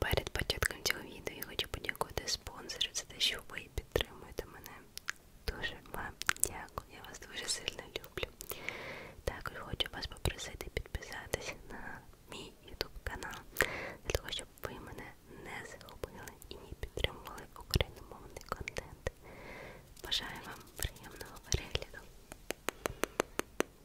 Перед початком цього відео я хочу подякувати спонсору за те, що ви підтримуєте мене. Дуже вам дякую, я вас дуже сильно люблю. Також хочу вас попросити підписатись на мій YouTube канал, для того, щоб ви мене не загубили і не підтримували україномовний контент. Бажаю вам приємного перегляду.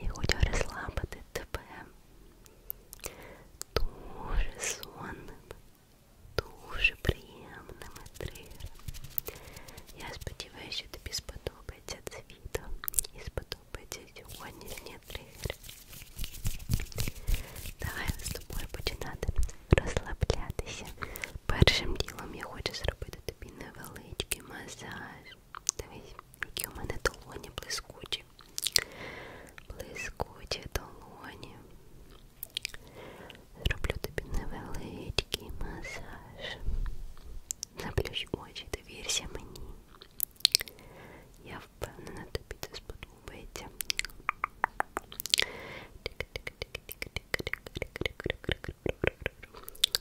Я хочу розслабити тебе. Дуже сонними, дуже приємними тригерами. Я сподіваюся, що тобі сподобається це відео і сподобається сьогоднішній тригер. Давай з тобою починати розслаблятися. Першим ділом я хочу зробити тобі невеличкий масаж. Дивись, які у мене долоні блискучі. Блискучі долоні. Зроблю тобі невеличкий масаж. Заплющ очі, довірся мені. Я впевнена, тобі це сподобається.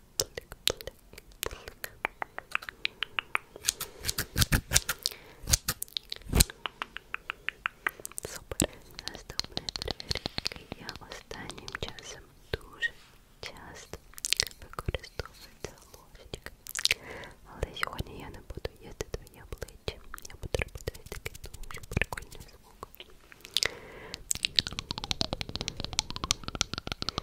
Супер, наступний тригер, який я останнім часом дуже часто використовую це ложечка. Але сьогодні я не буду їсти твоє обличчя. Я буду робити ось такий дуже прикольний звук.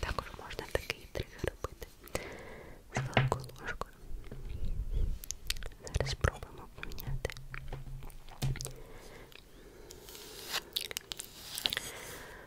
Також можна такий тригер робити з великою ложкою. Зараз спробуємо поміняти.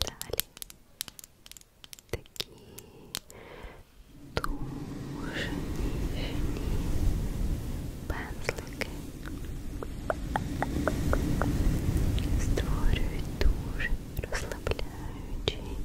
Далее. Такие тоже пензлики створюють дуже розслабляючий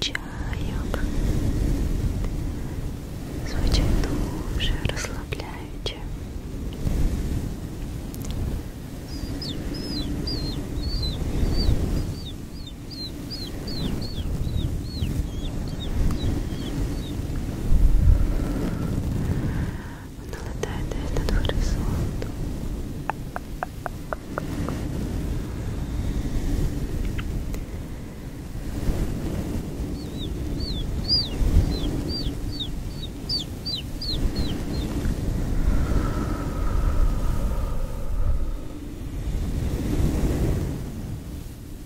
Чаек звучит уже расслабляюще. Хорошо. Он улетает этот горизонт. Ой,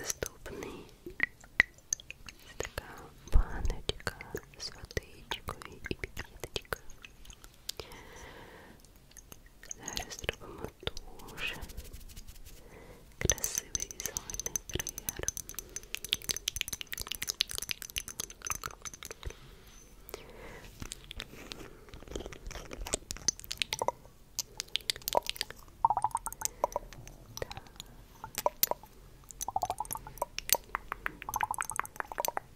Наступний така баночка з водичкою і пікеточкою. Зараз робимо дуже красивий візуальний інтер'єр. Так.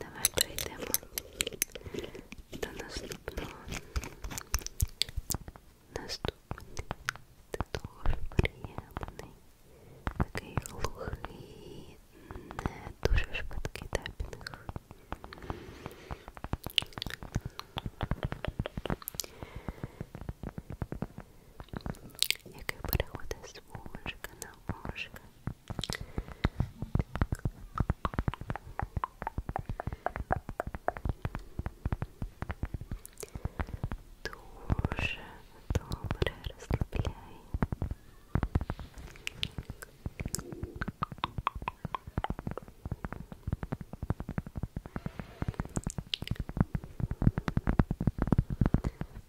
Давай пройдемо до наступного. Наступний. Ти дуже приємний. Такий глухий, не дуже швидкий тапінг який переходить з вушка на вушка. Дуже добре розслабляє.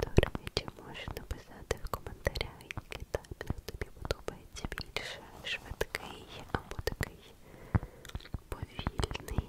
Дорогічі, можеш написати в коментарях, який таймінг тобі подобається більше, швидкий або такий повільний.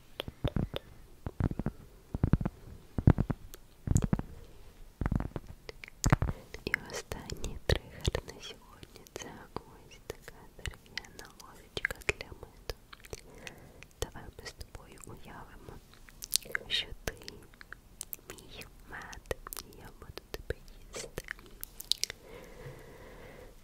И останній тригер на сьогодні це ось така дерев'яна ложечка для меду. Давай ми з тобою уявимо, що ти мій мед, і я буду тебе їсти.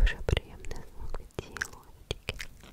Дуже приємний звук від цієї лодки. Ось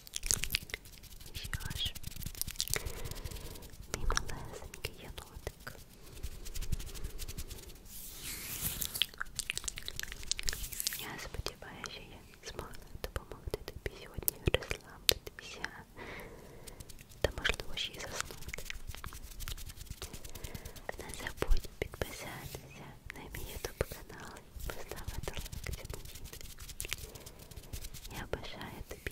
Еще ж мимолесенький енотик. Я сподіваюся, що я змогла допомогти тобі сьогодні розслабитися та можливо ще й заснути. Не забудь підписатися на мій ютуб канал і поставити лайк цьому відео. Я бажаю тобі